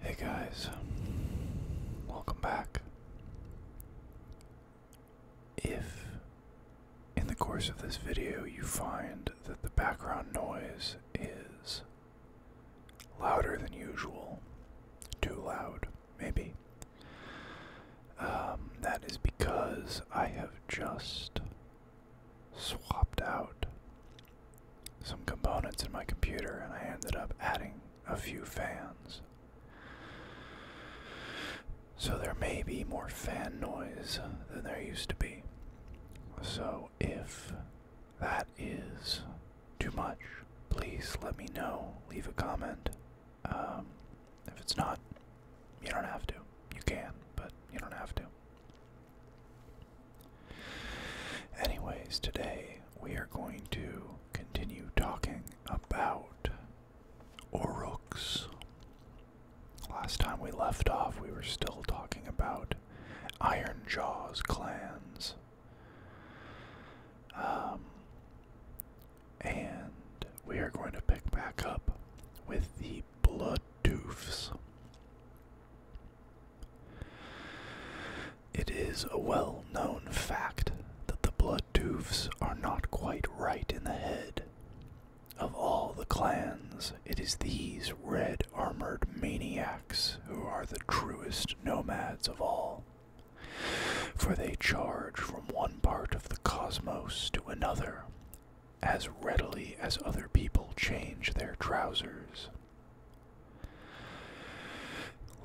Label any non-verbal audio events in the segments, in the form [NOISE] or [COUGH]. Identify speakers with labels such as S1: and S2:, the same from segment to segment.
S1: Hey guys, welcome back. If in the course of this video you find that the background noise is louder than usual, too loud, maybe, um, that is because I have just swapped out some components in my computer and I ended up adding a few fans. So there may be more fan noise than there used to be. So if that is too much, please let me know. Leave a comment. Um, if it's not, you don't have to. You can, but you don't have to. Anyways, today we are going to continue talking about Oruks. Last time we left off, we were still talking about Iron Jaws clans. Um, and we are going to pick back up with the Blood Doofs. It is a well known fact that the blood tooths are not quite right in the head. Of all the clans, it is these red armored maniacs who are the truest nomads of all. For they charge from one part of the cosmos to another, as readily as other people change their trousers.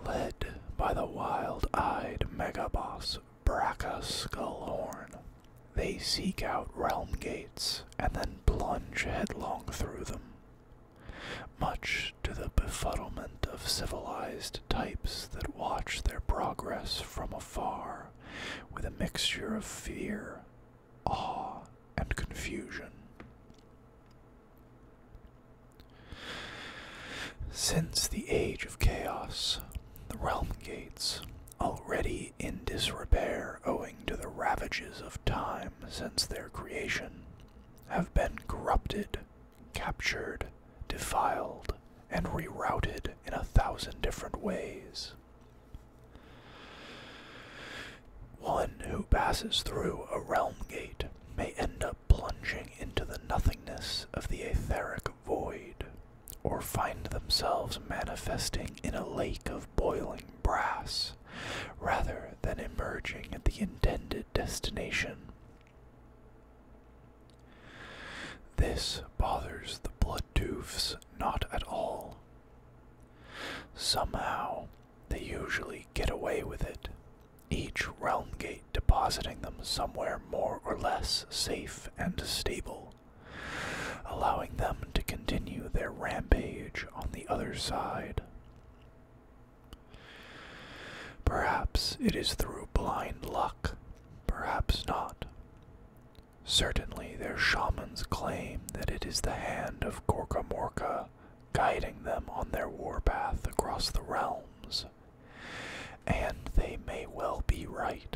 S1: Led by the wild eyed megaboss Bracca Skullhorn, they seek out realm gates and then plunge headlong through them. Much to the befuddlement of civilized types that watch their progress from afar with a mixture of fear awe and confusion. Since the age of chaos, the realm gates, already in disrepair owing to the ravages of time since their creation, have been corrupted, captured, defiled, and rerouted in a thousand different ways. One who passes through a realm gate may end up plunging into the nothingness of the etheric void, or find themselves manifesting in a lake of boiling brass, rather than emerging at the intended destination. This bothers the blood doofs not at all, Somehow, they usually get away with it, each realm gate depositing them somewhere more or less safe and stable, allowing them to continue their rampage on the other side. Perhaps it is through blind luck, perhaps not. Certainly, their shamans claim that it is the hand of Gorka Morka guiding them on their warpath across the realms, and they may well be right.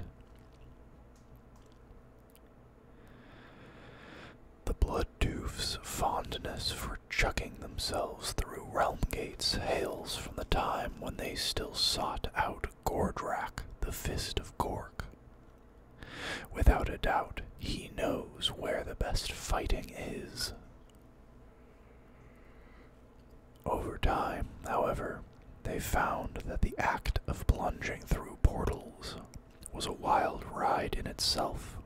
S1: The Blood Doof's fondness for chucking themselves through realm gates hails from the time when they still sought out Gordrak, the Fist of Gork. Without a doubt, he knows where the best fighting is. Over time, however, they found that the act of plunging through portals was a wild ride in itself,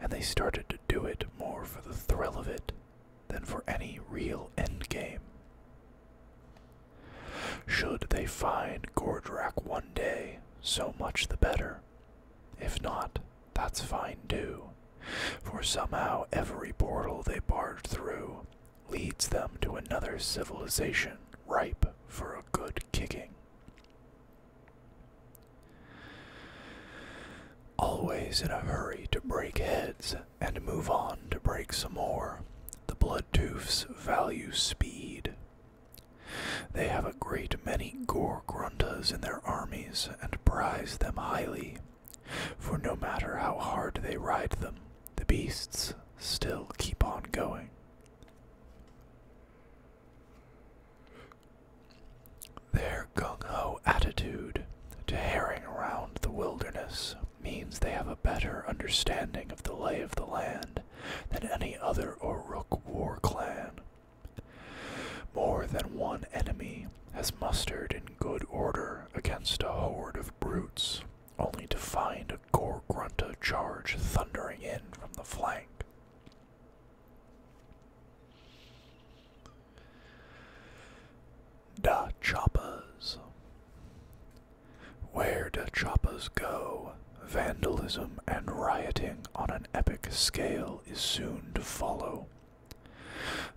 S1: and they started to do it more for the thrill of it than for any real endgame. Should they find Gordrak one day, so much the better. If not, that's fine too, for somehow every portal they barge through leads them to another civilization ripe for a good kicking. Always in a hurry to break heads and move on to break some more, the Bloodtooths value speed they have a great many Grundas in their armies and prize them highly, for no matter how hard they ride them, the beasts still keep on going. Their gung ho attitude to haring round the wilderness means they have a better understanding of the lay of the land than any other Uruk war clan. More than one enemy has mustered in good order against a horde of brutes, only to find a Gorgrunta charge thundering in from the flank. Da Choppas. Where do Choppas go? Vandalism and rioting on an epic scale is soon to follow.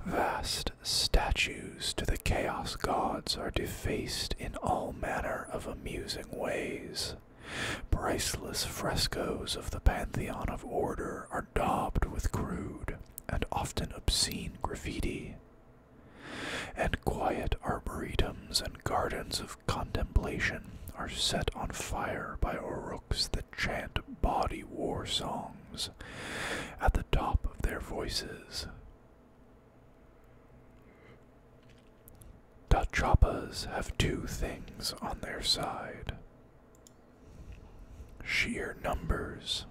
S1: Vast statues to the chaos gods are defaced in all manner of amusing ways. Priceless frescoes of the pantheon of order are daubed with crude and often obscene graffiti. And quiet arboretums and gardens of contemplation are set on fire by Oruks that chant body war songs at the top of their voices. Tachapas have two things on their side sheer numbers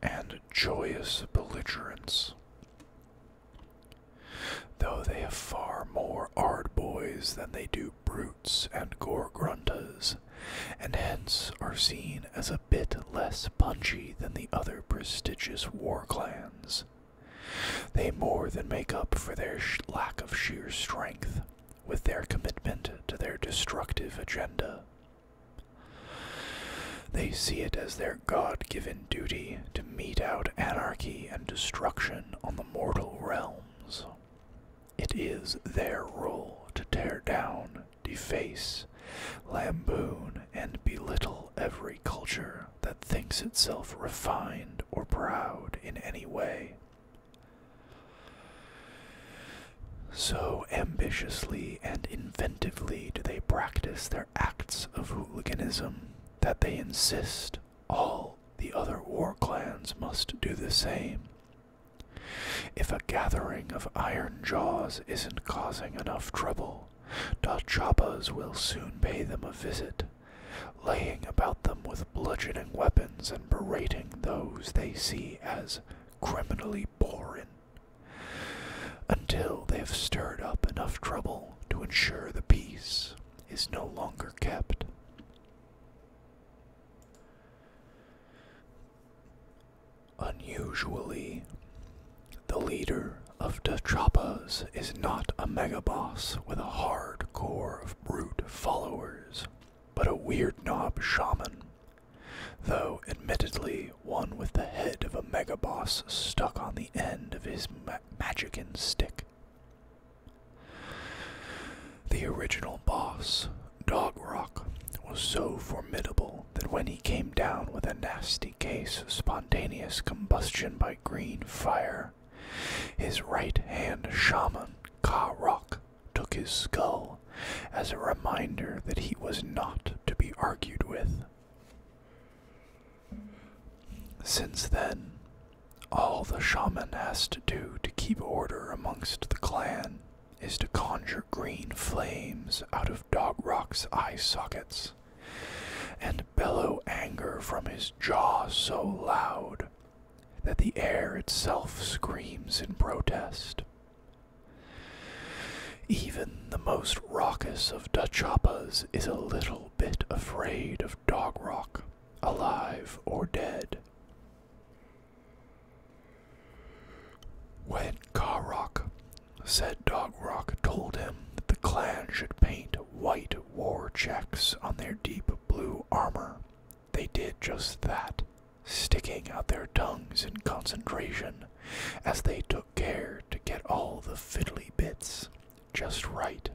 S1: and joyous belligerence. Though they have far more ard boys than they do brutes and gorgruntas, and hence are seen as a bit less punchy than the other prestigious war clans. They more than make up for their lack of sheer strength with their commitment to their destructive agenda. They see it as their God given duty to mete out anarchy and destruction on the mortal realms. It is their rule to tear down, deface, lamboon, and belittle every culture that thinks itself refined or proud in any way. So ambitiously and inventively do they practice their acts of hooliganism that they insist all the other war clans must do the same. If a gathering of iron jaws isn't causing enough trouble, Dachapas will soon pay them a visit, laying about them with bludgeoning weapons and berating those they see as criminally boring, until they've stirred up enough trouble to ensure the peace is no longer kept. Unusually, the leader of the Chapas is not a megaboss with a hard core of brute followers, but a weird knob shaman, though admittedly one with the head of a megaboss stuck on the end of his ma stick. The original boss, Dog Rock, was so formidable that when he came down with a nasty case of spontaneous combustion by green fire, his right hand shaman, Ka Rock, took his skull as a reminder that he was not to be argued with. Since then, all the shaman has to do to keep order amongst the clan is to conjure green flames out of Dog Rock's eye sockets and bellow anger from his jaw so loud that the air itself screams in protest. Even the most raucous of Dachapas is a little bit afraid of Dog Rock alive or dead. When Karok said Dog Rock told him that the clan should paint white war checks on their deep blue armor, they did just that, sticking out their tongues in concentration as they took care to get all the fiddly bits just right.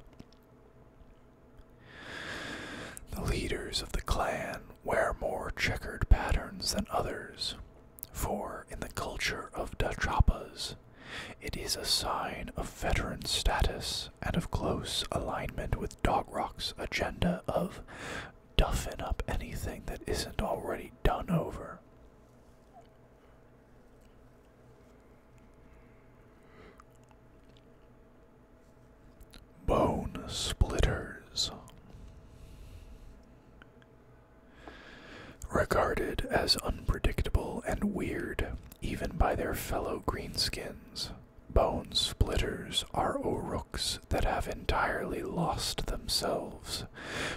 S1: The leaders of the clan wear more checkered patterns than others, for in the culture of the Dachapas, it is a sign of veteran status and of close alignment with Dogrock's agenda of duffing up anything that isn't already done over. Bone splitters. Regarded as unpredictable and weird even by their fellow greenskins, bone splitters are Orooks that have entirely lost themselves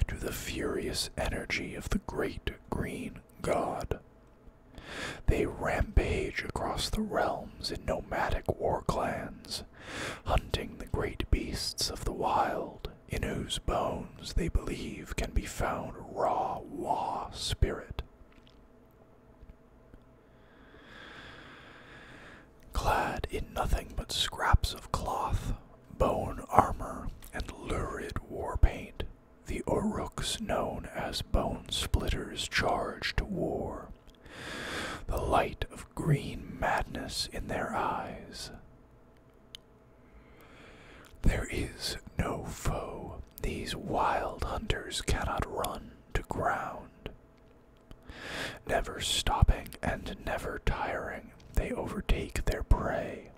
S1: to the furious energy of the great green god. They rampage across the realms in nomadic war clans, hunting the great beasts of the wild, in whose bones they believe can be found raw Wa spirit. Clad in nothing but scraps of cloth, bone armor, and lurid war paint, the Oruks, known as Bone Splitters, charge to war, the light of green madness in their eyes. There is no foe. These wild hunters cannot run to ground. Never stopping and never tiring, they overtake their prey.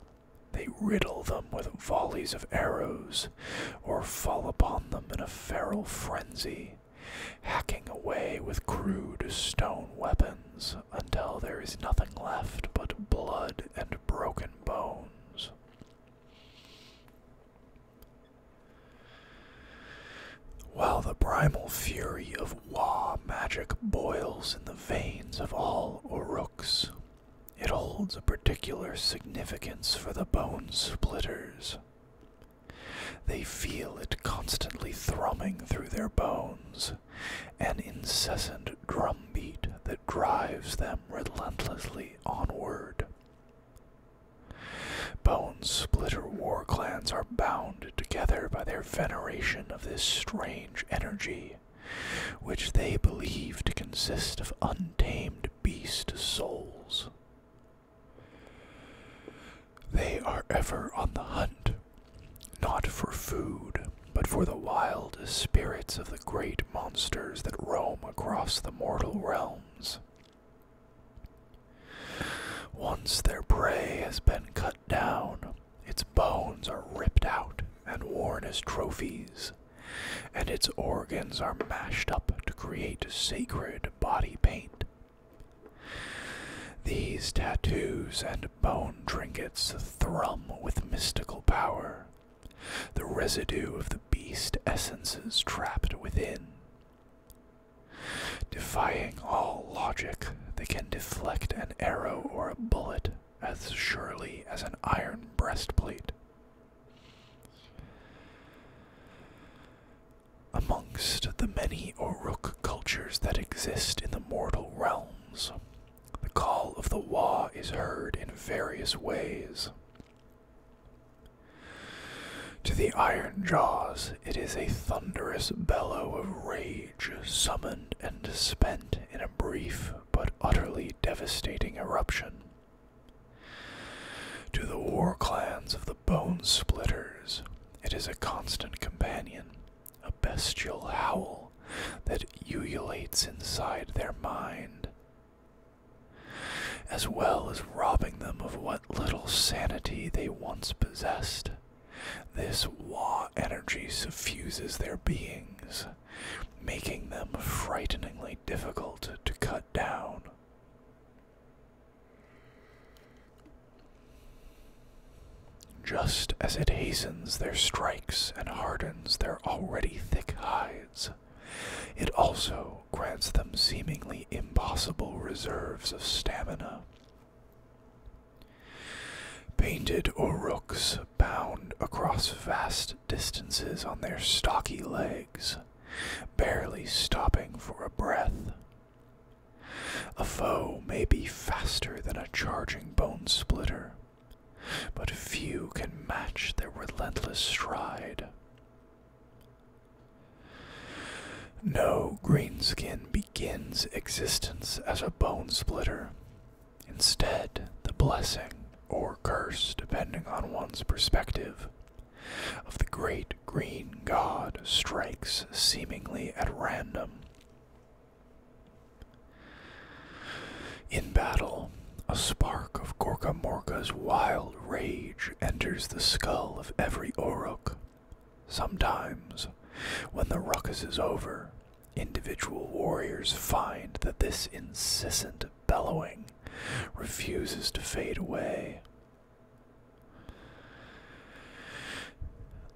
S1: They riddle them with volleys of arrows, or fall upon them in a feral frenzy, hacking away with crude stone weapons until there is nothing left but blood and broken bones. While the primal fury of Wa magic boils in the veins of all Oruks, it holds a particular significance for the bone splitters. They feel it constantly thrumming through their bones, an incessant drumbeat that drives them relentlessly onward. Bone splitter war clans are bound together by their veneration of this strange energy, which they believe to consist of untamed beast souls. They are ever on the hunt, not for food, but for the wild spirits of the great monsters that roam across the mortal realms. Once their prey has been cut down, its bones are ripped out and worn as trophies and its organs are mashed up to create sacred body paint. These tattoos and bone trinkets thrum with mystical power, the residue of the beast essences trapped within. Defying all logic, they can deflect an arrow or a bullet as surely as an iron breastplate. Amongst the many Uruk cultures that exist in the mortal realms, the call of the Wa is heard in various ways. To the Iron Jaws, it is a thunderous bellow of rage, summoned and spent in a brief but utterly devastating eruption. To the war clans of the Bone Splitters, it is a constant companion, a bestial howl that ululates inside their mind, as well as robbing them of what little sanity they once possessed. This Wa energy suffuses their beings, making them frighteningly difficult to cut down. Just as it hastens their strikes and hardens their already thick hides, it also grants them seemingly impossible reserves of stamina. Painted orooks bound across vast distances on their stocky legs, barely stopping for a breath. A foe may be faster than a charging bone splitter, but few can match their relentless stride. No greenskin begins existence as a bone splitter. Instead, the blessing, or curse, depending on one's perspective, of the great green god strikes seemingly at random. In battle, a spark of Gorka Morka's wild rage enters the skull of every Oruk. Sometimes, when the ruckus is over, individual warriors find that this incessant bellowing refuses to fade away.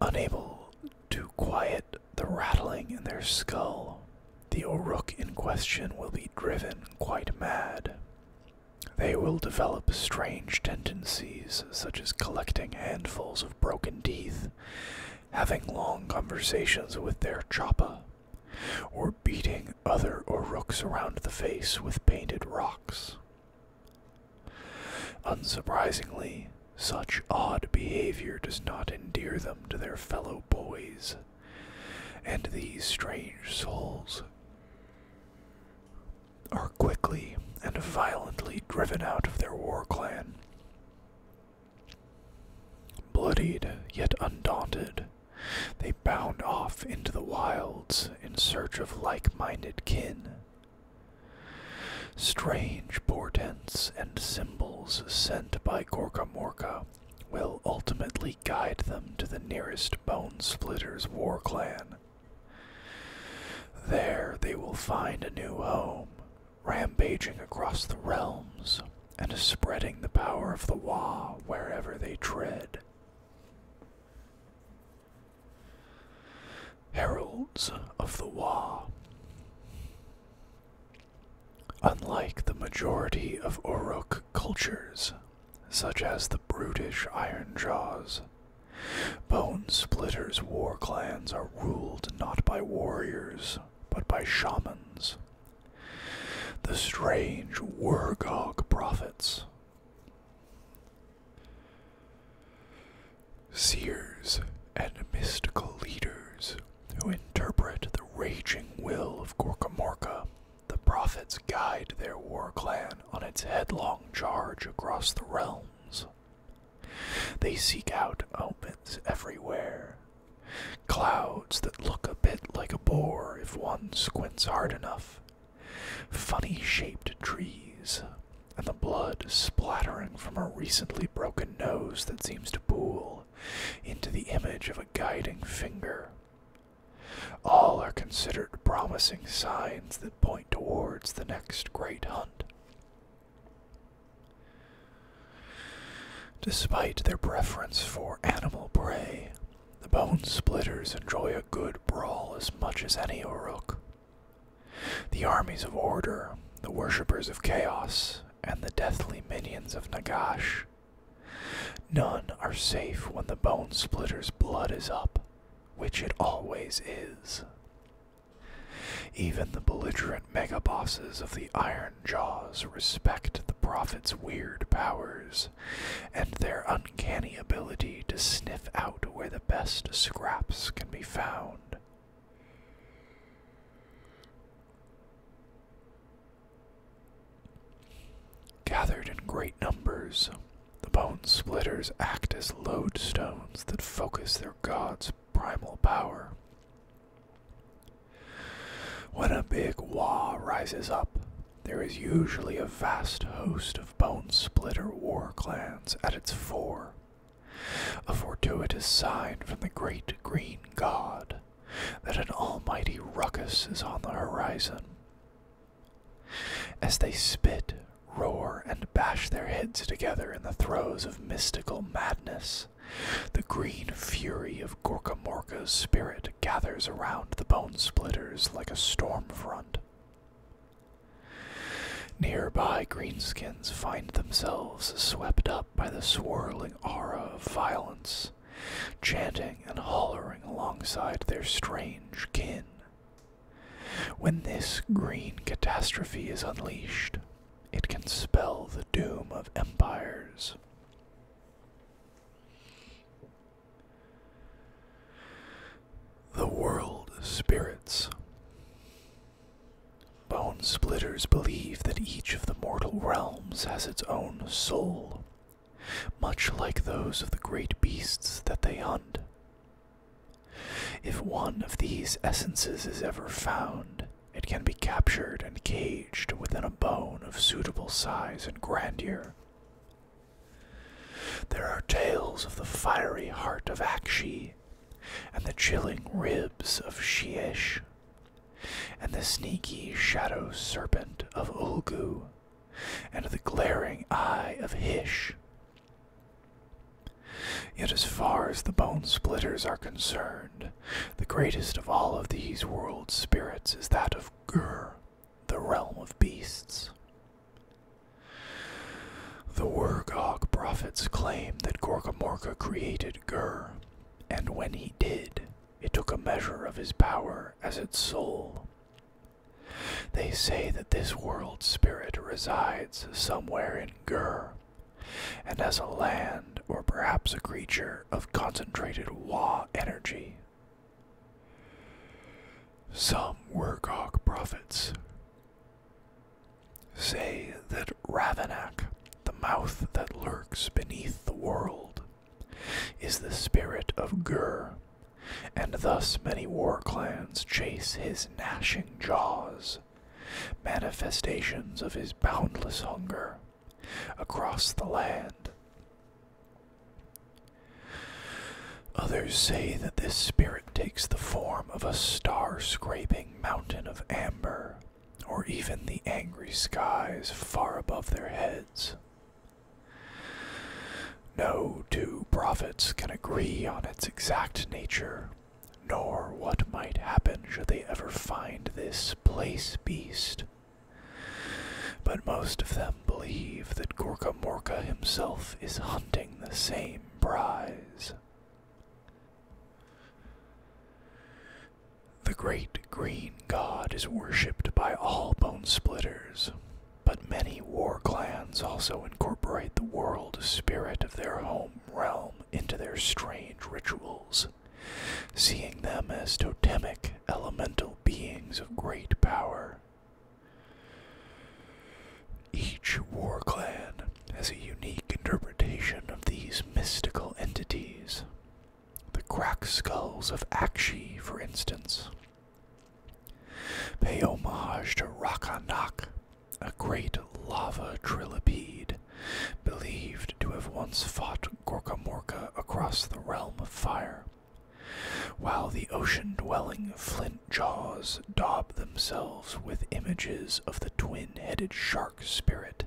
S1: Unable to quiet the rattling in their skull, the Oruk in question will be driven quite mad. They will develop strange tendencies, such as collecting handfuls of broken teeth, having long conversations with their choppa, or beating other or rooks around the face with painted rocks. Unsurprisingly, such odd behavior does not endear them to their fellow boys and these strange souls are quickly and violently driven out of their war clan. Bloodied yet undaunted, they bound off into the wilds in search of like minded kin. Strange portents and symbols sent by Gorkamorka will ultimately guide them to the nearest Bone Splitter's war clan. There they will find a new home, rampaging across the realms and spreading the power of the Wa wherever they tread. Heralds of the war, Unlike the majority of Oruk cultures, such as the brutish Iron Jaws, Bone Splitter's war clans are ruled not by warriors, but by shamans. The strange Wurgog prophets Seers and mystical leaders who interpret the raging will of Gorkamorka, the prophets guide their war clan on its headlong charge across the realms. They seek out omens everywhere. Clouds that look a bit like a boar if one squints hard enough, funny shaped trees, and the blood splattering from a recently broken nose that seems to pool into the image of a guiding finger. All are considered promising signs that point towards the next great hunt. Despite their preference for animal prey, the bone splitters enjoy a good brawl as much as any Uruk. The armies of order, the worshippers of chaos, and the deathly minions of Nagash. None are safe when the bone splitter's blood is up, which it always is. Even the belligerent mega bosses of the Iron Jaws respect the Prophet's weird powers and their uncanny ability to sniff out where the best scraps can be found. Gathered in great numbers, the bone splitters act as lodestones that focus their god's primal power. When a big wa rises up, there is usually a vast host of bone splitter war clans at its fore. A fortuitous sign from the great green god that an almighty ruckus is on the horizon. As they spit, roar, and bash their heads together in the throes of mystical madness, the green fury of Gorkamorka's spirit gathers around the bone splitters like a storm front, Nearby, greenskins find themselves swept up by the swirling aura of violence, chanting and hollering alongside their strange kin. When this green catastrophe is unleashed, it can spell the doom of empires. The world spirits. Bone splitters believe that each of the mortal realms has its own soul, much like those of the great beasts that they hunt. If one of these essences is ever found, it can be captured and caged within a bone of suitable size and grandeur. There are tales of the fiery heart of Akshi, and the chilling ribs of Sheesh, and the sneaky shadow serpent of Ulgu, and the glaring eye of Hish. Yet, as far as the bone splitters are concerned, the greatest of all of these world spirits is that of Gur, the realm of beasts. The Wergog prophets claim that Gorgamorka created Gur, and when he did, it took a measure of his power as its soul. They say that this world spirit resides somewhere in Gur, and as a land or perhaps a creature of concentrated Wa energy some Wergog prophets say that Ravenak, the mouth that lurks beneath the world, is the spirit of Gur, and thus many war clans chase his gnashing jaws, manifestations of his boundless hunger, across the land Others say that this spirit takes the form of a star scraping mountain of amber, or even the angry skies far above their heads. No two prophets can agree on its exact nature, nor what might happen should they ever find this place beast. But most of them believe that Gorka Morka himself is hunting the same prize. The great green god is worshipped by all bone splitters, but many war clans also incorporate the world spirit of their home realm into their strange rituals, seeing them as totemic elemental beings of great power. Each war clan has a unique interpretation of these mystical entities. The crack skulls of Akshi, for instance, pay homage to Rakanak, a great lava trilipede believed to have once fought Gorkamorka across the realm of fire. While the ocean dwelling flint jaws daub themselves with images of the twin headed shark spirit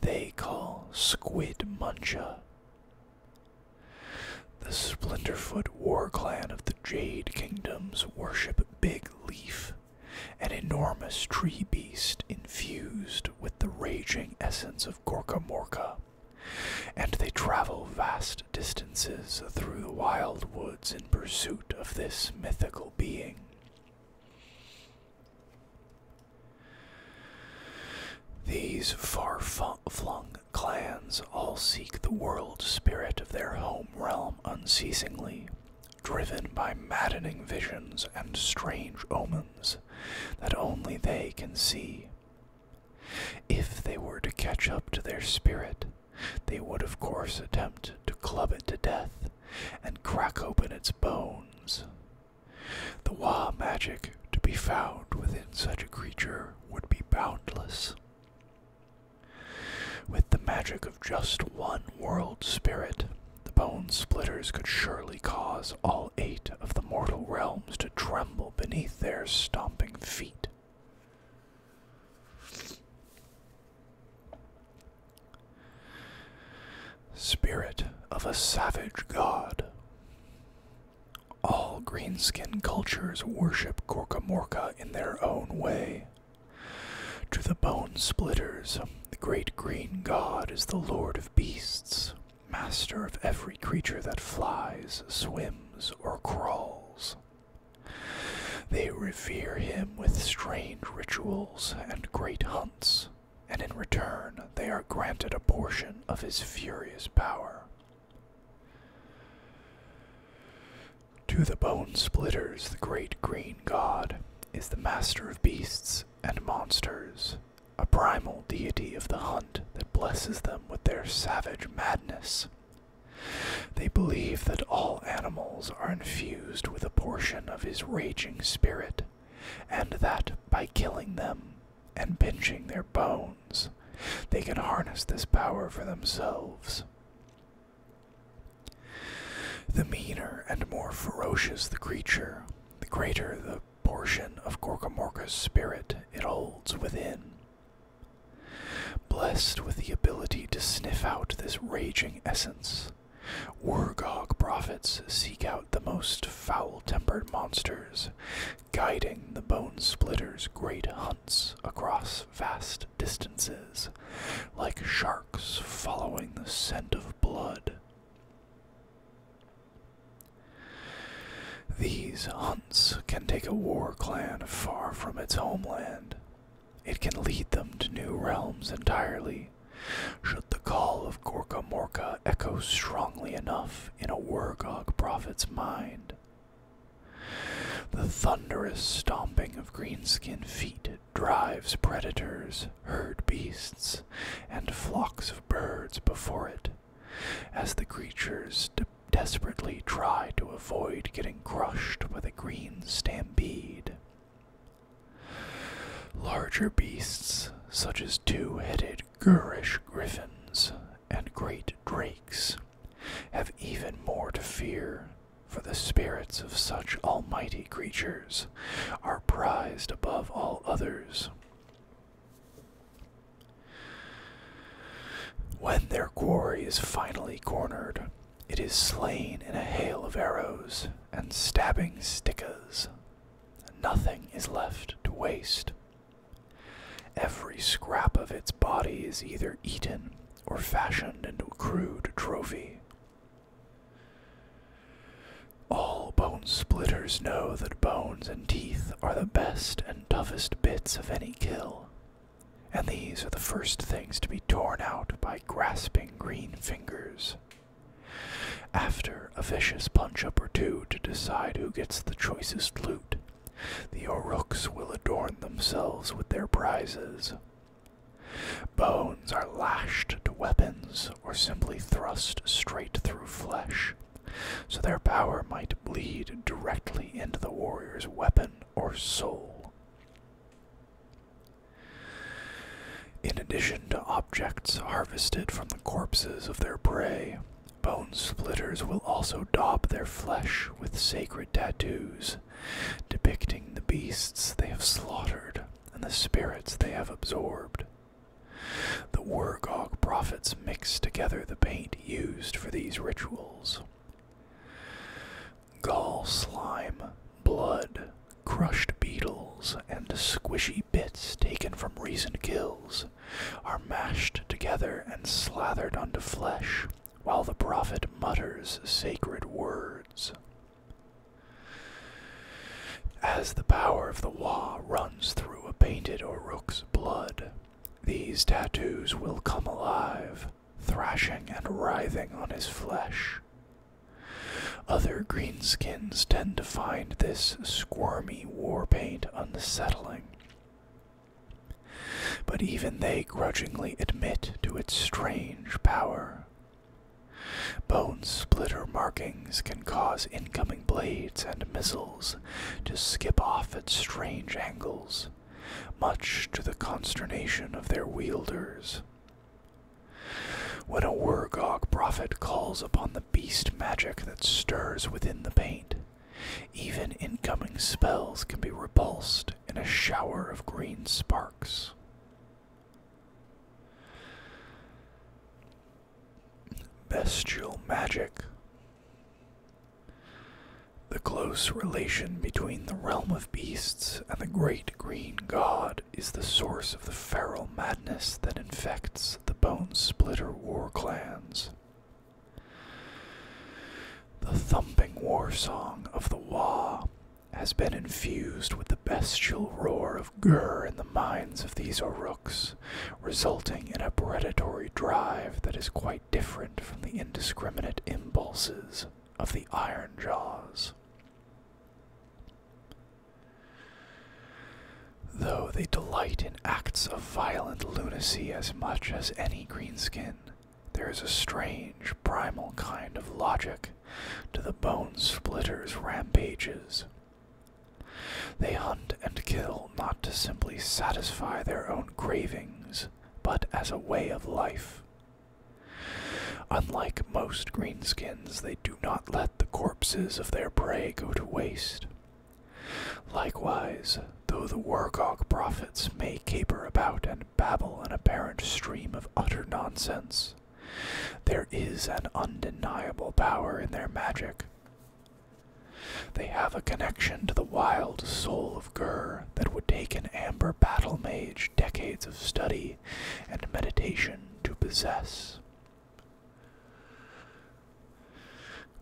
S1: they call Squid Muncha. The Splinterfoot war clan of the Jade Kingdoms worship Big Leaf, an enormous tree beast infused with the raging essence of Gorka Morka. And they travel vast distances through the wild woods in pursuit of this mythical being. These far flung clans all seek the world spirit of their home realm unceasingly, driven by maddening visions and strange omens that only they can see. If they were to catch up to their spirit, they would of course attempt to club it to death and crack open its bones. The wah magic to be found within such a creature would be boundless. With the magic of just one world spirit, the bone splitters could surely cause all eight of the mortal realms to tremble beneath their stomping feet. Spirit of a savage god. All greenskin cultures worship Gorkamorka in their own way. To the bone splitters, the great green god is the lord of beasts, master of every creature that flies, swims, or crawls. They revere him with strange rituals and great hunts, and in return they are granted a portion of his furious power. To the bone splitters, the great green god is the master of beasts and monsters, a primal deity of the hunt that blesses them with their savage madness they believe that all animals are infused with a portion of his raging spirit, and that by killing them and pinching their bones, they can harness this power for themselves. The meaner and more ferocious the creature, the greater the portion of Gorkomorka's spirit it holds within. Blessed with the ability to sniff out this raging essence, Wargog prophets seek out the most foul tempered monsters, guiding the Bone Splitter's great hunts across vast distances, like sharks following the scent of blood. These can take a war clan far from its homeland. It can lead them to new realms entirely, should the call of Gorka Morka echo strongly enough in a Wargog prophet's mind. The thunderous stomping of greenskin feet drives predators, herd beasts, and flocks of birds before it, as the creatures desperately try to avoid getting crushed by the green stampede. Larger beasts, such as two headed Gurish griffins and great drakes, have even more to fear, for the spirits of such almighty creatures are prized above all others. When their quarry is finally cornered, it is slain in a hail of arrows and stabbing stickas. Nothing is left to waste. Every scrap of its body is either eaten or fashioned into a crude trophy. All bone splitters know that bones and teeth are the best and toughest bits of any kill, and these are the first things to be torn out by grasping green fingers. After a vicious punch up or two to decide who gets the choicest loot, the oruks will adorn themselves with their prizes. Bones are lashed to weapons or simply thrust straight through flesh, so their power might bleed directly into the warrior's weapon or soul. In addition to objects harvested from the corpses of their prey, bone splitters will also daub their flesh with sacred tattoos depicting the beasts they have slaughtered and the spirits they have absorbed. The Wargog prophets mix together the paint used for these rituals. Gall slime, blood, crushed beetles, and squishy bits taken from recent kills are mashed together and slathered onto flesh while the prophet mutters sacred words. As the power of the Wa runs through a painted Oruk's blood, these tattoos will come alive, thrashing and writhing on his flesh. Other greenskins tend to find this squirmy war paint unsettling, but even they grudgingly admit to its strange power. Bone splitter markings can cause incoming blades and missiles to skip off at strange angles, much to the consternation of their wielders. When a Wurgog prophet calls upon the beast magic that stirs within the paint, even incoming spells can be repulsed in a shower of green sparks. Bestial magic. The close relation between the realm of beasts and the great green god is the source of the feral madness that infects the bone splitter war clans. The thumping war song of the Wa has been infused with the bestial roar of Gur in the minds of these Oruks, resulting in a predatory drive that is quite different from the indiscriminate impulses of the Iron Jaws. Though they delight in acts of violent lunacy as much as any greenskin, there is a strange, primal kind of logic to the bone splitter's rampages. They hunt and kill not to simply satisfy their own cravings, but as a way of life. Unlike most greenskins, they do not let the corpses of their prey go to waste. Likewise, though the Wargog prophets may caper about and babble an apparent stream of utter nonsense, there is an undeniable power in their magic. They have a connection to the wild soul Gur that would take an amber battle mage decades of study and meditation to possess.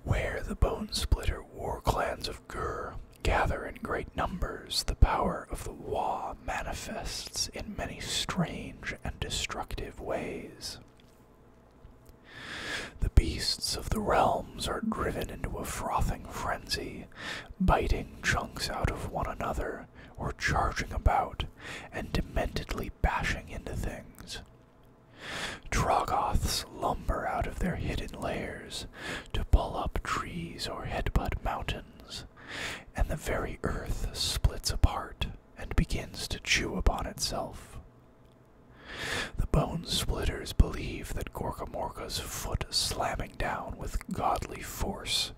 S1: Where the Bone Splitter war clans of Gur gather in great numbers, the power of the Wa manifests in many strange and destructive ways. The beasts of the realms are driven into a frothing frenzy biting chunks out of one another or charging about and dementedly bashing into things. Trogoths lumber out of their hidden lairs to pull up trees or headbutt mountains, and the very earth splits apart and begins to chew upon itself. The bone splitters believe that Gorkamorka's foot slamming down with godly force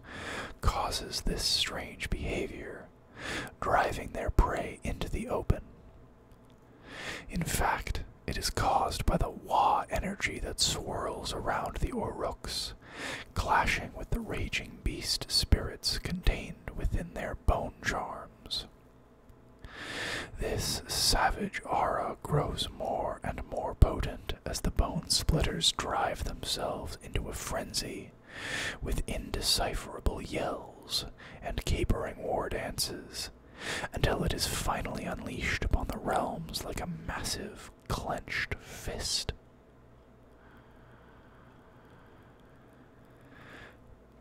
S1: causes this strange behavior, driving their prey into the open. In fact, it is caused by the Wa energy that swirls around the Oruks, clashing with the raging beast spirits contained within their bone charms. This savage aura grows more and more potent as the bone splitters drive themselves into a frenzy with indecipherable yells and capering war dances until it is finally unleashed upon the realms like a massive clenched fist.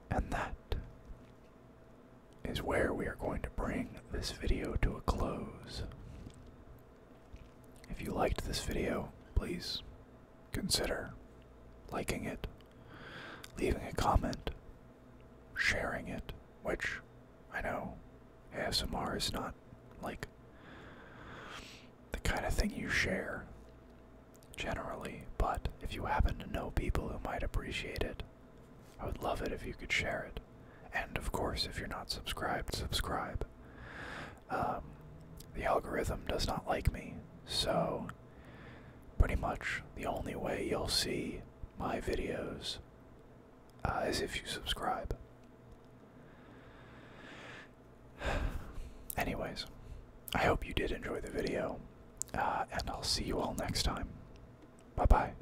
S1: And that is where we are going to bring this video to a close. If you liked this video, please consider liking it, leaving a comment, sharing it, which I know ASMR is not like the kind of thing you share generally, but if you happen to know people who might appreciate it, I would love it if you could share it. And of course, if you're not subscribed, subscribe. Um, the algorithm does not like me, so pretty much the only way you'll see my videos uh, is if you subscribe. [SIGHS] Anyways, I hope you did enjoy the video, uh, and I'll see you all next time. Bye bye.